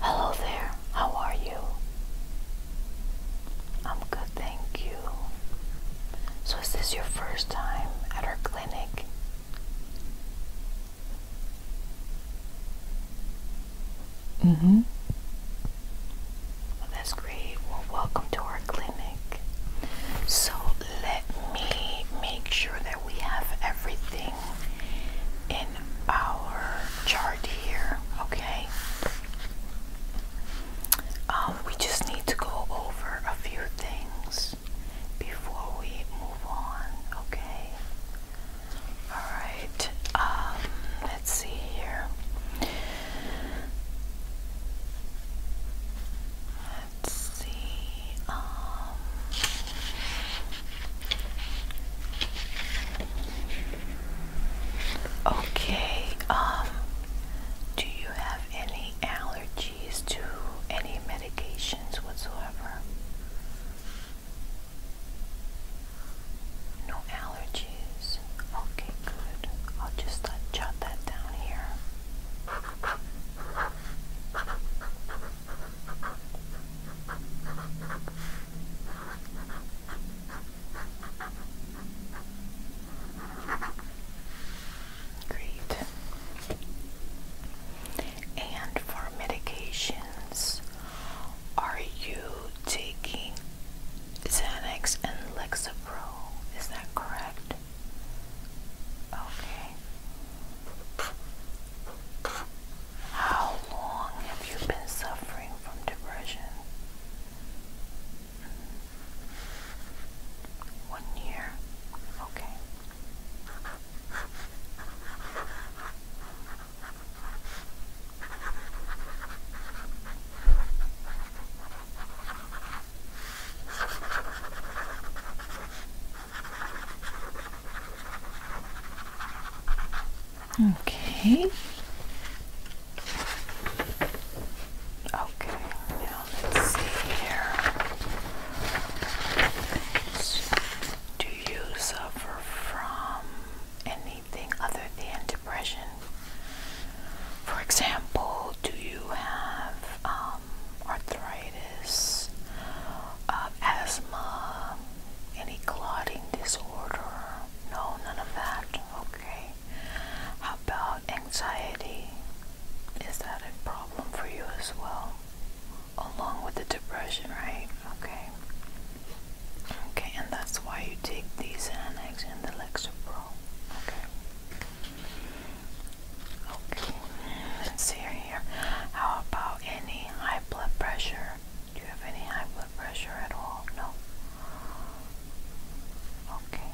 Hello there, how are you? I'm good, thank you. So, is this your first time at our clinic? hmm. that's great. Well, welcome to our clinic. So, let me make sure that we have everything in our chart here, okay? Um, we just need to go over a few things before we move on, okay? Alright, um, let's see here let's see. Um, okay. Um, do you have any allergies to any medications whatsoever? No allergies. Okay, good. I'll just uh, jot that down here. Great. And for medications, are you taking Xanax and Lexapro? Is that correct? Okay. How long have you been suffering from depression? One year. Okay. Okay. Okay, now let's see here. Do you suffer from anything other than depression? For example, do you have um, arthritis, um, asthma, any clotting disorder? No, none of that. Okay. How about anxiety? Is that a problem for you as well? Along with the depression, right? Okay. Okay, and that's why you take these Xanax and the Lexapro. Okay. Okay, let's see here. How about any high blood pressure? Do you have any high blood pressure at all? No. Okay,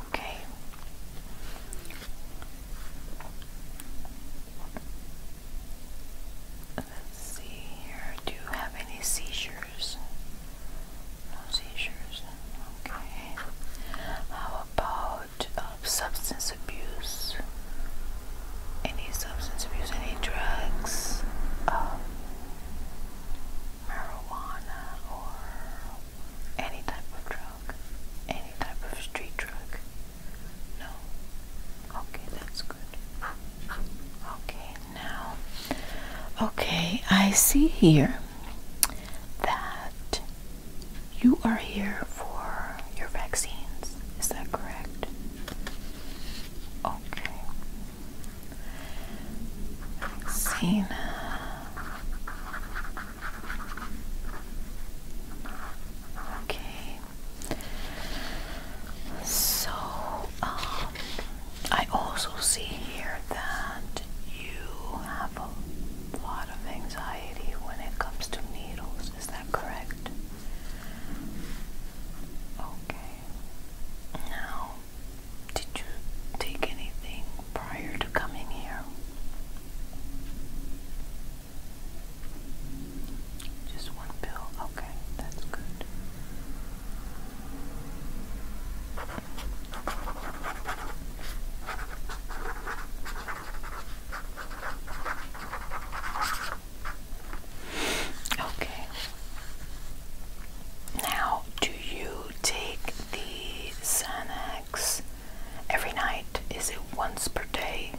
Okay. Let's see here. Do you have any seizures? No seizures. Okay. How about um, substance abuse? Any substance abuse? Any drugs? Um, marijuana or any type of drug? Any type of street drug? No. Okay, that's good. Okay now. Okay, I see here that you are here for your vaccines. Is that correct? Okay. Vaccine. Okay. So, um, I also see here that you have a lot of anxiety when it comes to needles. Is that correct? Okay. Now, did you take anything prior to coming here? Just one pill? Okay, that's good. Okay. Now, do you take the Xanax every night? Is it once per day?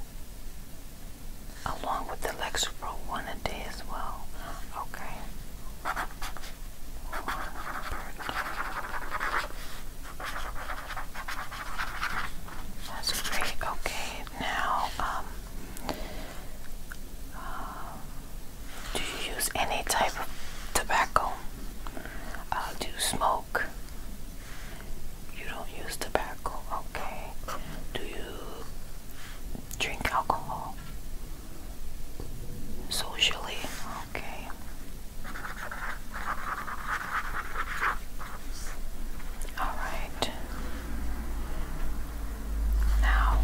Along with the Lexapro, one a day as well. Okay. That's great. Okay, now, um, uh, do you use any type of tobacco? Uh, do you smoke? You don't use tobacco. Okay. Do you drink alcohol? Socially, okay. All right. Now,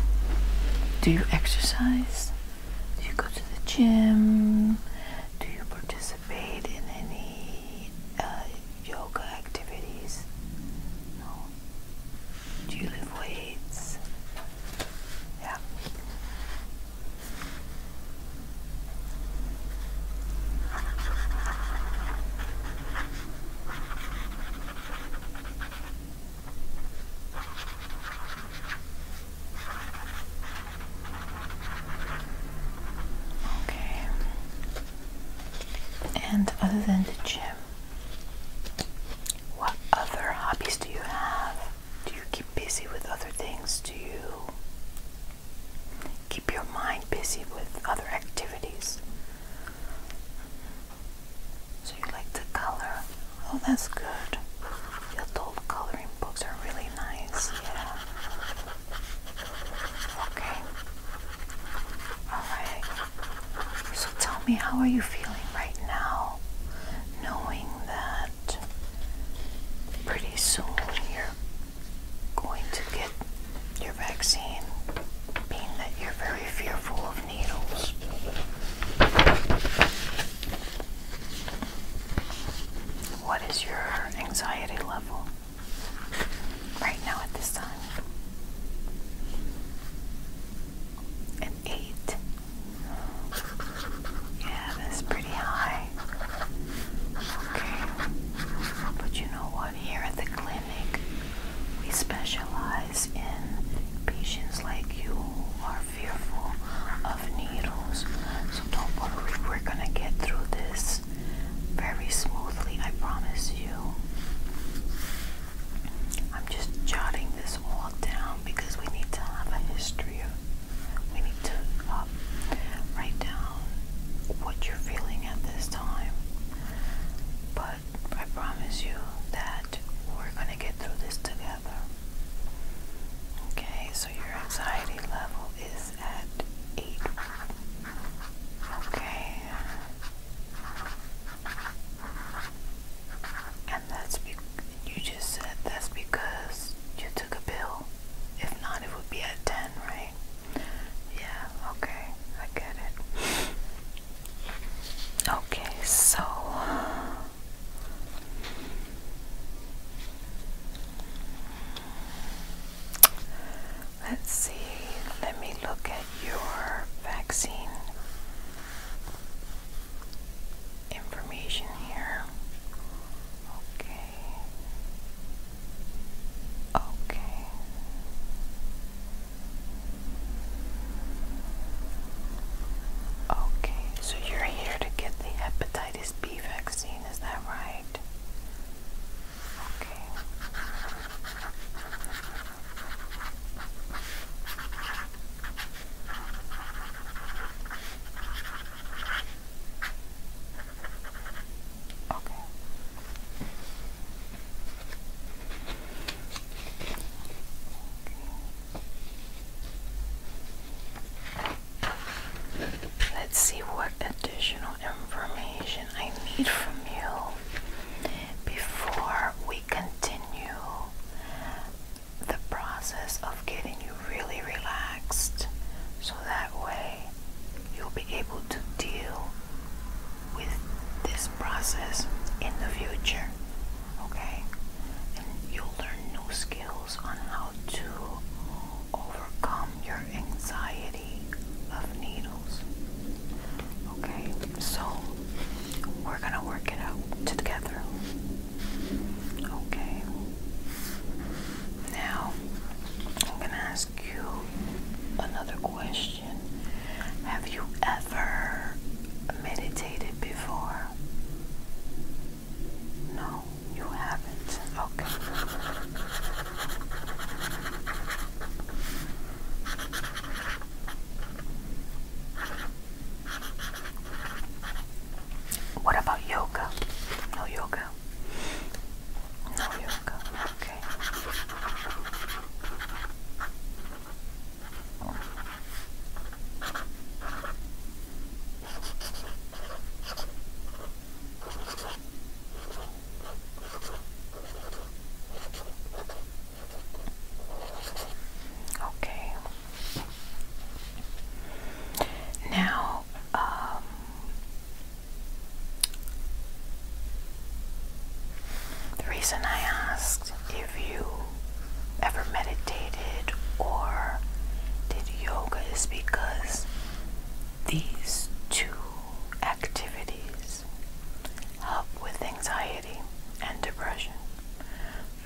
do you exercise? Do you go to the gym? Do you participate in any uh, yoga activities? No. Do you lift weights? Yeah. Okay. And other than the gym, what other hobbies do you have? Do you keep busy with other things? Do you keep your mind busy with other activities? So you like to color? Oh, that's good. adult coloring books are really nice. Yeah. Okay. Alright. So tell me, how are you feeling right now? knowing that pretty soon you're going to get your vaccine, being that you're very fearful of needles. What is your anxiety level right now at this time? eight. Yeah, that's pretty high. Okay. But you know what? Here at the clinic, we specialize in patients like you are fearful of needles. So don't worry, we're gonna get through this very smoothly, I promise you. I'm just jotting this all down. Um, because we need to have a history we need to um, write down what you're feeling at this time. But I promise you that we're going to get through this together. Okay, so your anxiety level is at 8. Okay. And that's be you just said that's because you took a pill. If not, it would be at 10, right? Yeah, okay, I get it. Okay, so let's see, let me look at your vaccine information here. Okay. Okay. Okay, so you're here to get the hepatitis B vaccine, is that right? Okay. Okay. Let's see what additional information I need from you before we continue the process of getting you really relaxed so that way you'll be able to deal with this process in the future. Okay? And you'll learn new skills on how to overcome your anxiety of needles. Okay? So, we're gonna work it out together. Okay. Now, I'm going to ask you another question. Have you ever meditated before? No, you haven't. Okay. What about yoga? No yoga. No yoga. Okay. Okay. Now, um, the reason I asked if you ever meditated or did yoga is because these two activities help with anxiety and depression.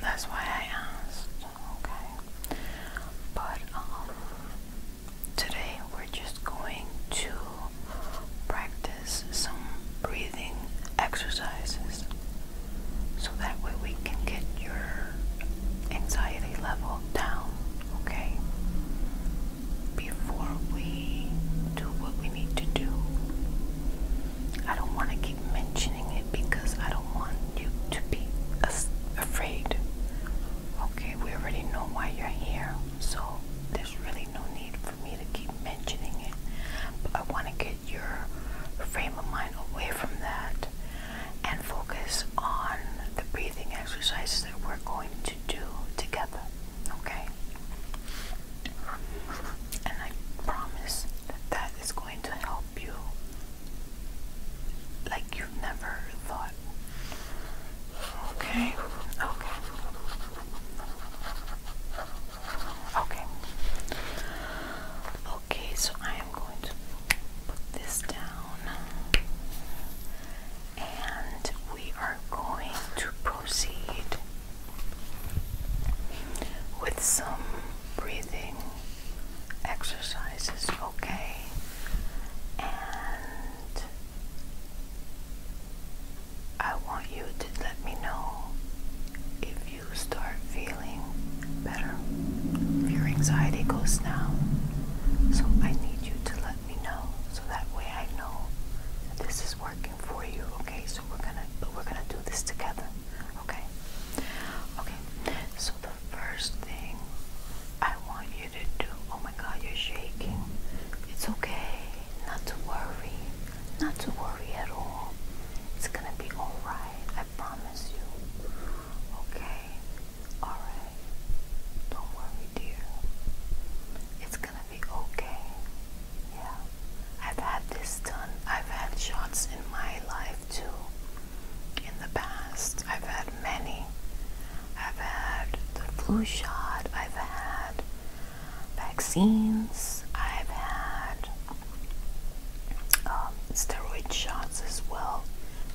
That's why I asked, okay? But um, today we're just going to practice some breathing exercises so that way we can get your anxiety level down, okay? Before we do what we need to do. I don't want to keep mentioning it because I don't want you to be afraid. Okay, we already know why you're here, so there's really no need for me to keep mentioning it. But I want to get your frame of mind away from that and focus on the breathing exercises that we're going to do together. Okay? and I promise that that is going to help you like you've never thought. Okay, okay, okay, okay. So I am going to put this down, and we are going to proceed with some breathing exercises okay and I want you to let me know if you start feeling better if your anxiety goes down so I need you to let me know so that way I know this is working for you okay so we're gonna we're gonna do this together Okay. Okay. So the first thing I want you to do. Oh my God, you're shaking. It's okay. Not to worry. Not to worry at all. It's gonna be all right. I promise you. Okay. All right. Don't worry, dear. It's gonna be okay. Yeah. I've had this done. I've had shots in my life too. In the past, I've had many. I've had the flu shot, I've had vaccines, I've had um, steroid shots as well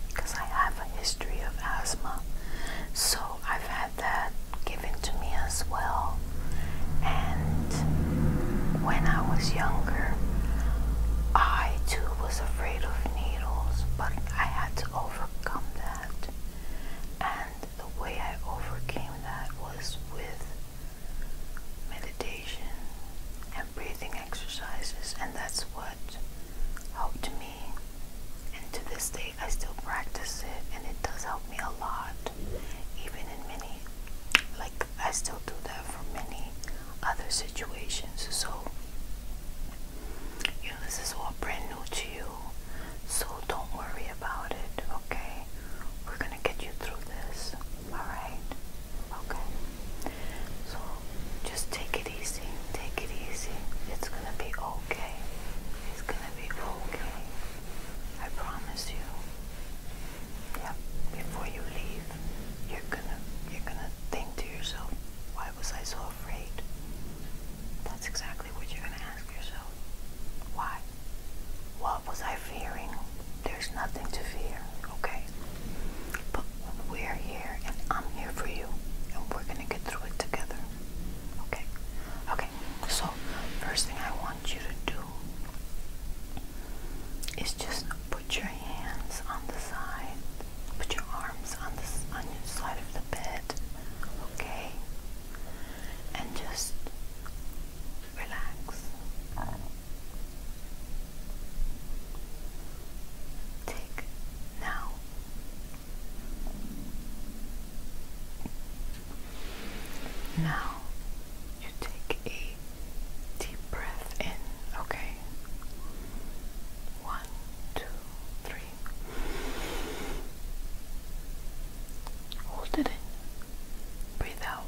because I have a history of asthma. So I've had that given to me as well. And when I was younger, I too was afraid of needles, but I had to overcome that. And the way I overcame that was with meditation and breathing exercises, and that's what helped me. And to this day, I still practice it, and it does help me a lot, even in many like I still do that for many other situations. So you know, this is all brand new to you. So don't worry about it, okay? We're gonna get you through this. Alright? Okay. So just take it easy. Take it easy. It's gonna be okay. It's gonna be okay. I promise you yeah, before you leave, you're gonna you're gonna think to yourself, why was I so afraid? That's exactly what you're gonna ask yourself. Why? What was I fearing? There's nothing to fear, okay? But we're here and I'm here for you and we're gonna get through it together. Okay? Okay, so first thing I want you to do is just put your hands on the side, put your arms on the your side of the bed, okay, and just relax. Take now. Now, you take a deep breath in, okay? One, two, three. Hold it in. Breathe out.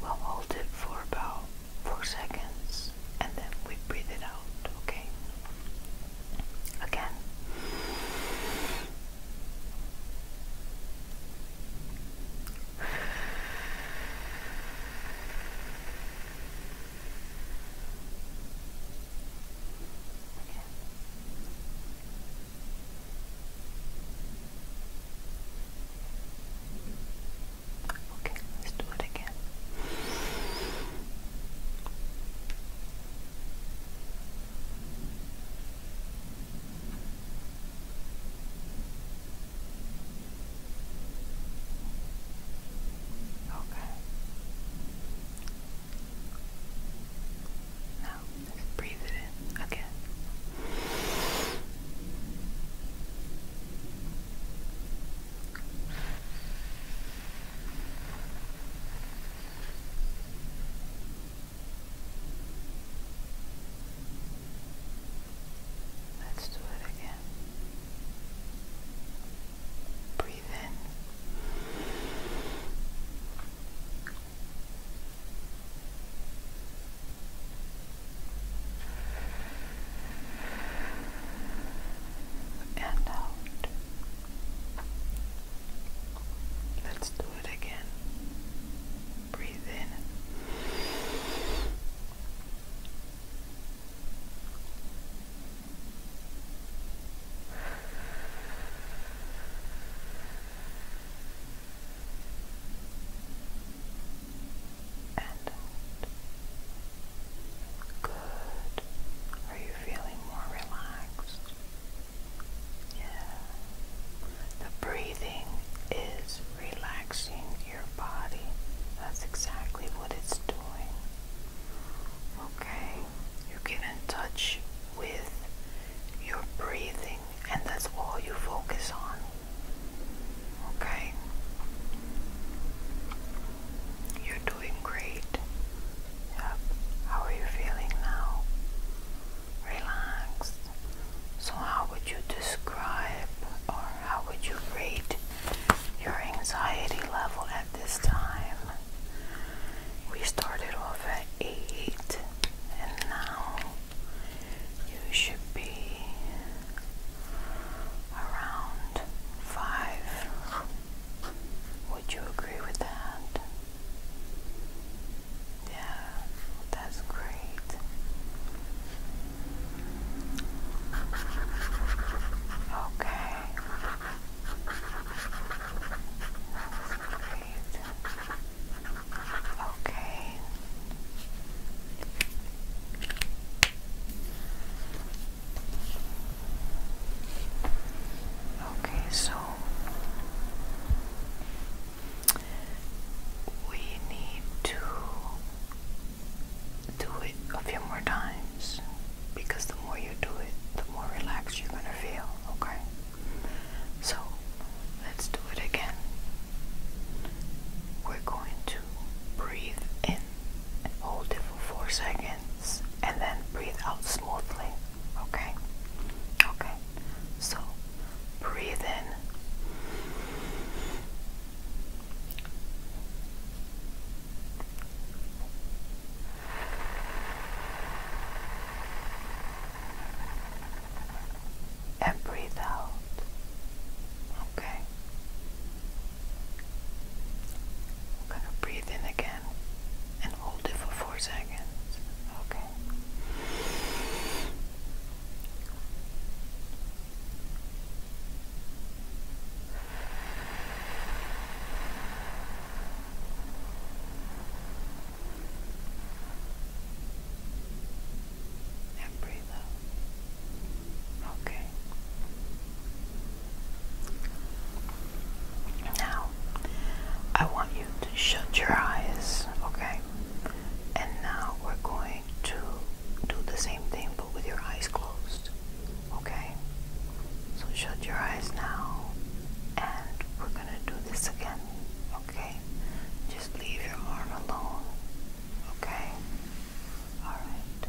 We'll hold it for about four seconds and then we breathe it out, okay? again. Okay. Okay, let's do it again. Okay. Now breathe it in again. Let's do it again. Breathe in. And out. Let's do it again. Breathe in. And Good. Are you feeling more relaxed. Yeah. The breathing is relaxing your body. That's exactly what it's doing. Okay? You get in touch with your breathing, and that's all you focus on. Okay? You're doing great. How are you feeling now? Relaxed. So, how would you describe or how would you rate your anxiety level at this time? We started off at 8, and now you should be around 5. Would you agree with that? Yeah, that's great. Okay. Okay. Okay, so we need to do it a few more times because the more you do it, the more relaxed you're going to feel, okay? So let's do it again. We're going to breathe in hold it four seconds and then breathe out smoothly. Okay? Okay. So breathe in. And breathe out. Okay. We're gonna breathe in again and hold it for four seconds. Okay. And breathe out. Okay. Now, I want you to shut your eyes, okay? And now we're going to do the same thing but with your eyes closed, okay? So shut your eyes now and we're gonna do this again, okay? Just leave your arm alone, okay? Alright.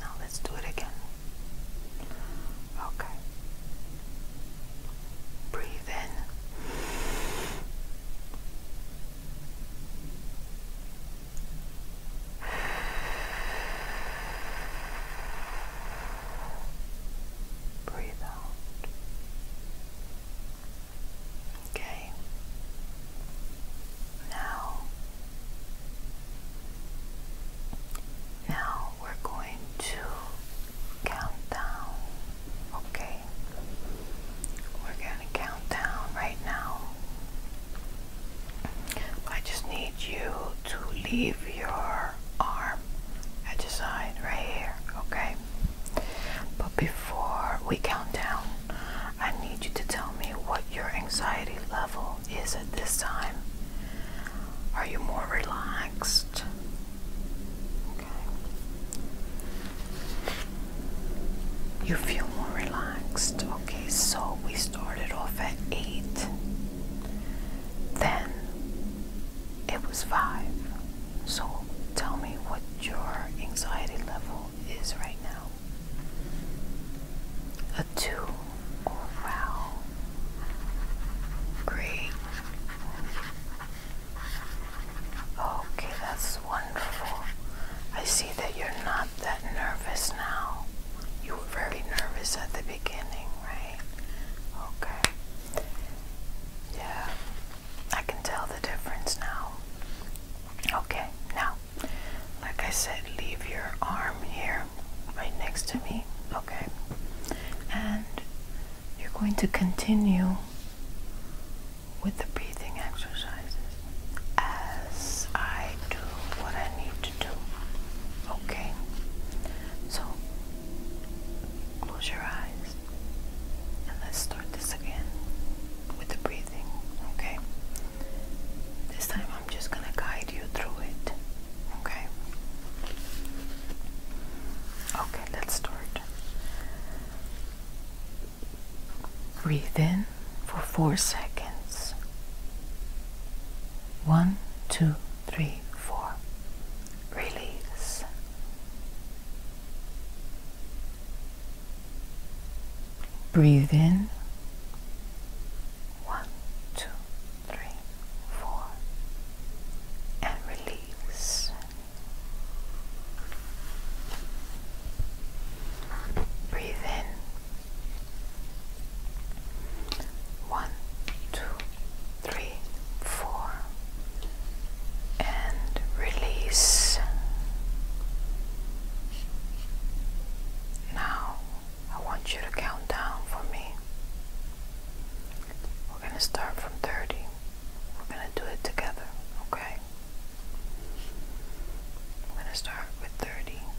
Now let's do it again. Okay. Breathe in. Breathe out. Okay. Now, now we're going to count down. Okay. We're going to count down right now. I just need you to leave your arm at the side right here, okay? But before we count down, I need you to tell me what your anxiety level is at this time. Are you more relaxed? Okay. You feel more relaxed. Okay, so we started off at 8, then it was 5. So tell me what your anxiety level is right now. A 2. wow. Great. Okay, that's wonderful. I see that you're not that nervous now. You were very nervous at the beginning, right? Okay. Yeah, I can tell the difference now. Okay, now, like I said, leave your arm here right next to me, okay? And you're going to continue with the breathing exercises as I do what I need Okay? So, close your eyes and let's start this again with the breathing. Okay? This time I'm just gonna guide you through it. Okay? Okay, let's start. Breathe in for four seconds. One, two, three, four. Release. Breathe in. One, two, three, four. And release. Breathe in. One, two, three, four, and release. Now, I want you to count down for me. We're going to start from 30. We're going to do it together, okay? I'm going to start with 30.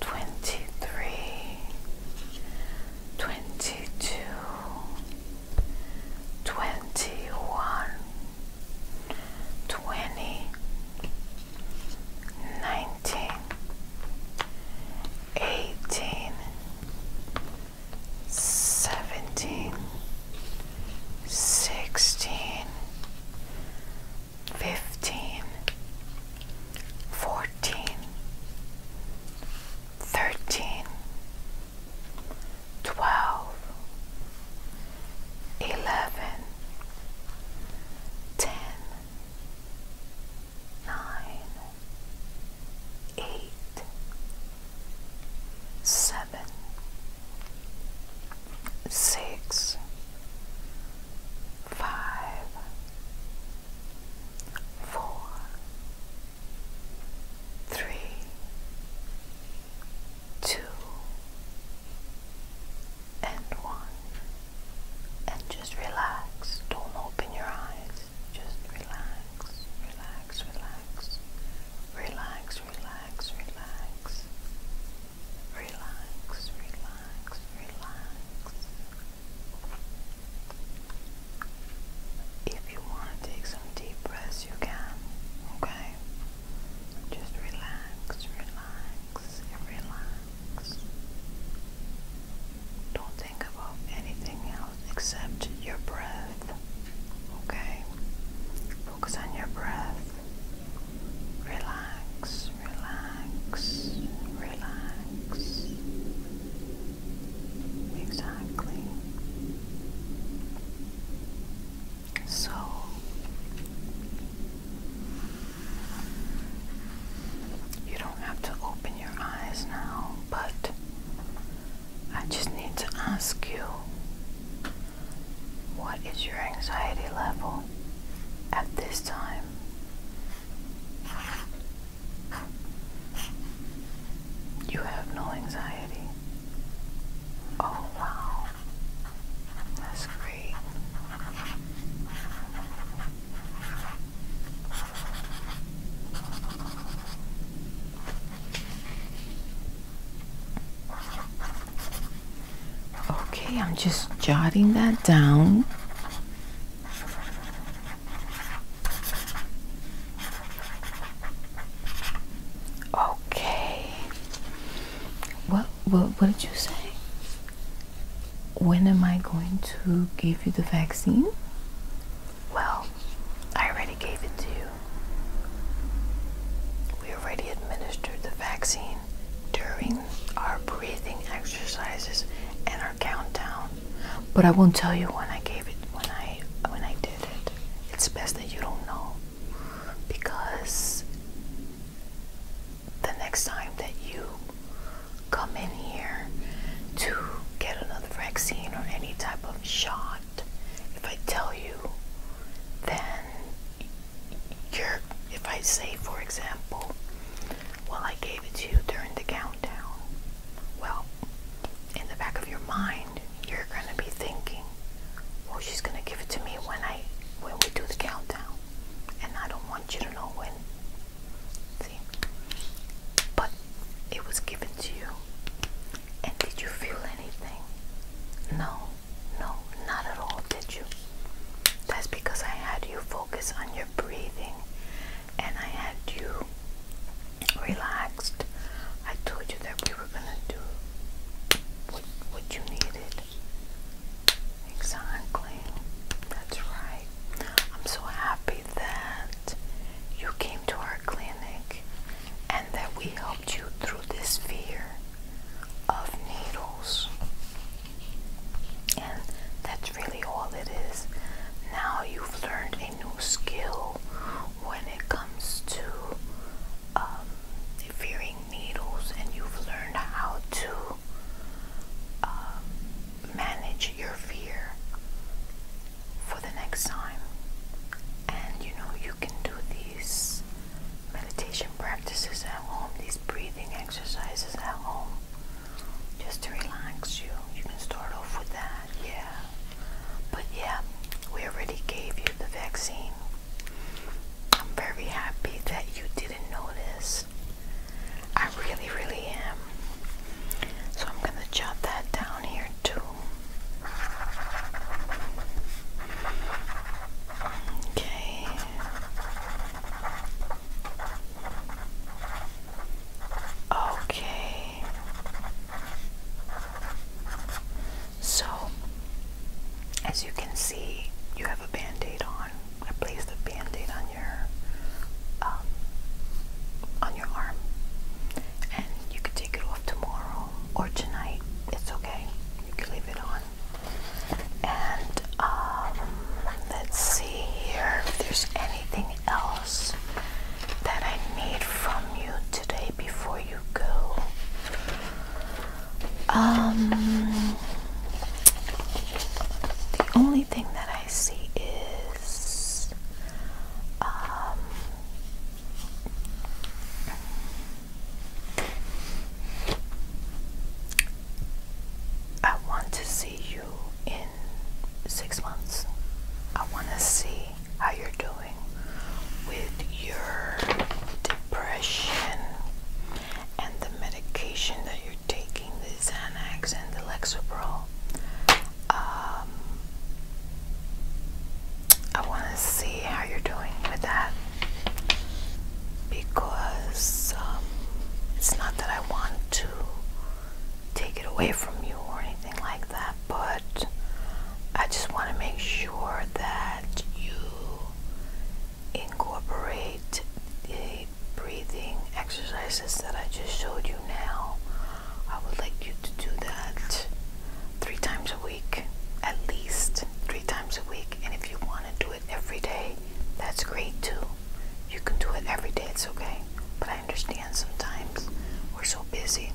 twenty-three, twenty-two, twenty-one, twenty, nineteen, eighteen, seventeen, sixteen, fifteen fourteen, thirteen, twelve, eleven, ten, nine, eight, seven, six, five four, three, two, and one. And just relax. Don't open your eyes. Just relax, relax, relax, relax, relax, relax, relax, relax, relax. If you want to take some deep breaths, you can, okay? Just relax, relax, and relax. Don't think about anything else except your breath, okay? Focus on your breath. Relax, relax, relax. Exactly. So you don't have to open your eyes now, but I just need to ask you what is your anxiety level at this time? You have no anxiety. Oh, wow. That's great. Okay, I'm just jotting that down Okay. What, what what did you say? When am I going to give you the vaccine? Well, I already gave it to you. We already administered the vaccine during our breathing exercises and our countdown. But I won't tell you when I gave it when I when I did it. It's best that you don't know because the next time that you come in here to get another vaccine or any type of shot, if I tell you, then you're if I say for example well, I gave it to you during the countdown. Well, in the back of your mind, you're gonna be thinking, well, she's gonna give it to me when I when we do the countdown. And I don't want you to know when. See? But it was given to you. And did you feel anything? No, no, not at all, did you? That's because I had you focus on your breathing and I had you relaxed. I told you that we were gonna do what what you needed. Exactly. That's right. I'm so happy that you came to our clinic and that we helped you through this fear of needles. And that's really all it is. Now you've learned a new skill when it comes to um, fearing needles, and you've learned how to um, manage your fear for the next time. And you know, you can do these meditation practices at home, these breathing exercises at home just to relax you. You can start off with that, yeah. But yeah, we already gave you the vaccine. I'm very happy that you didn't notice. I really, really am. So I'm going to jot that down here too. Okay. Okay. So, as you can see, you have a band aid on. I placed a band aid on your um, on your arm, and you can take it off tomorrow or tonight. It's okay. You can leave it on. And um, let's see here if there's any anything else that I need from you today before you go? Um, the only thing that I see is um, I want to see you in six months. I want to see how you're doing with your depression and the medication that you're taking, the Xanax and the Lexapro. Um, I want to see how you're doing with that because um, it's not that I want to take it away from you or anything like that, but I just want to make sure that you incorporate the breathing exercises that I just showed you now. I would like you to do that three times a week, at least three times a week, and if you want to do it every day, that's great too. You can do it every day, it's okay. But I understand sometimes we're so busy.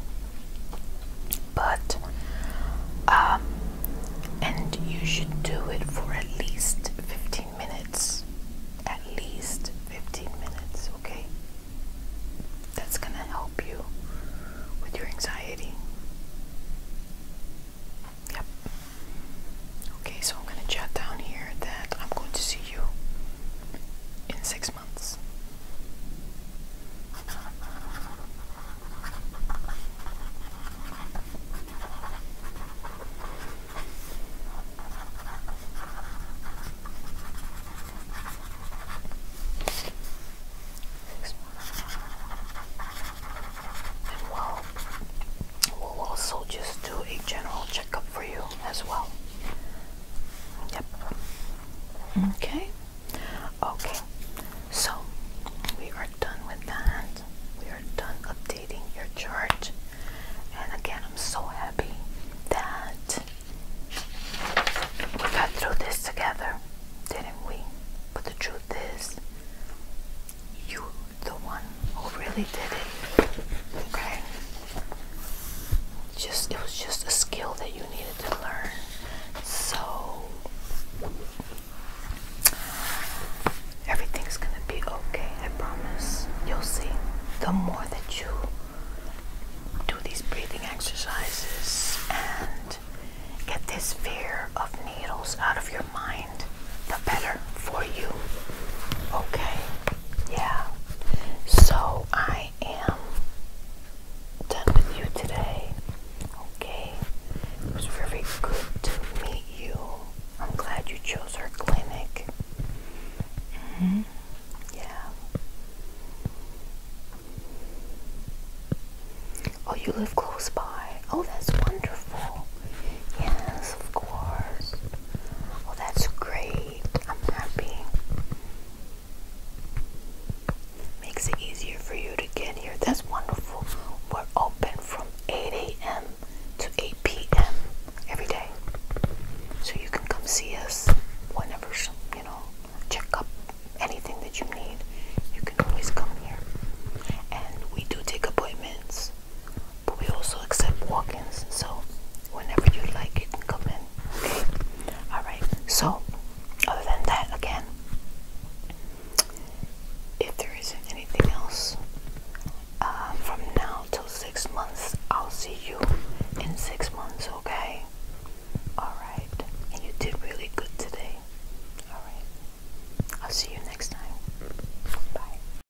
But, um, and you should do it for at least 15 minutes. At least 15 minutes, okay? That's gonna help you with your anxiety. Yep. Okay, so I'm going to jot down here that I'm going to see you in six months. Six months. And We'll also just do a general checkup for you as well. Yep. Okay. Okay. So we are done with that. We are done updating your chart. And again, I'm so happy that we got through this together, didn't we? But the truth is, you are the one who really did it. Okay? Just it was just a skill that you needed to learn. So everything's gonna be okay, I promise. You'll see. The more that you do these breathing exercises and get this fear of needles out of your mind, the better for you. Okay? yeah. So I am done with you today. Okay. It was very good to meet you. I'm glad you chose our clinic. Mm-hmm. Yeah. Oh, you live close by. Oh, that's wonderful. Yes, of course. Well, that's great. I'm happy. Makes it easier for you to get here. That's wonderful. We're open from 8 a.m. to 8 p.m. every day. So you can come see us whenever, you know, check up anything that you need. You can always come here. And we do take appointments but we also accept walk-ins so whenever you like you can come in all right so other than that again if there isn't anything else uh, from now till six months I'll see you in six months okay all right and you did really good today all right I'll see you next time bye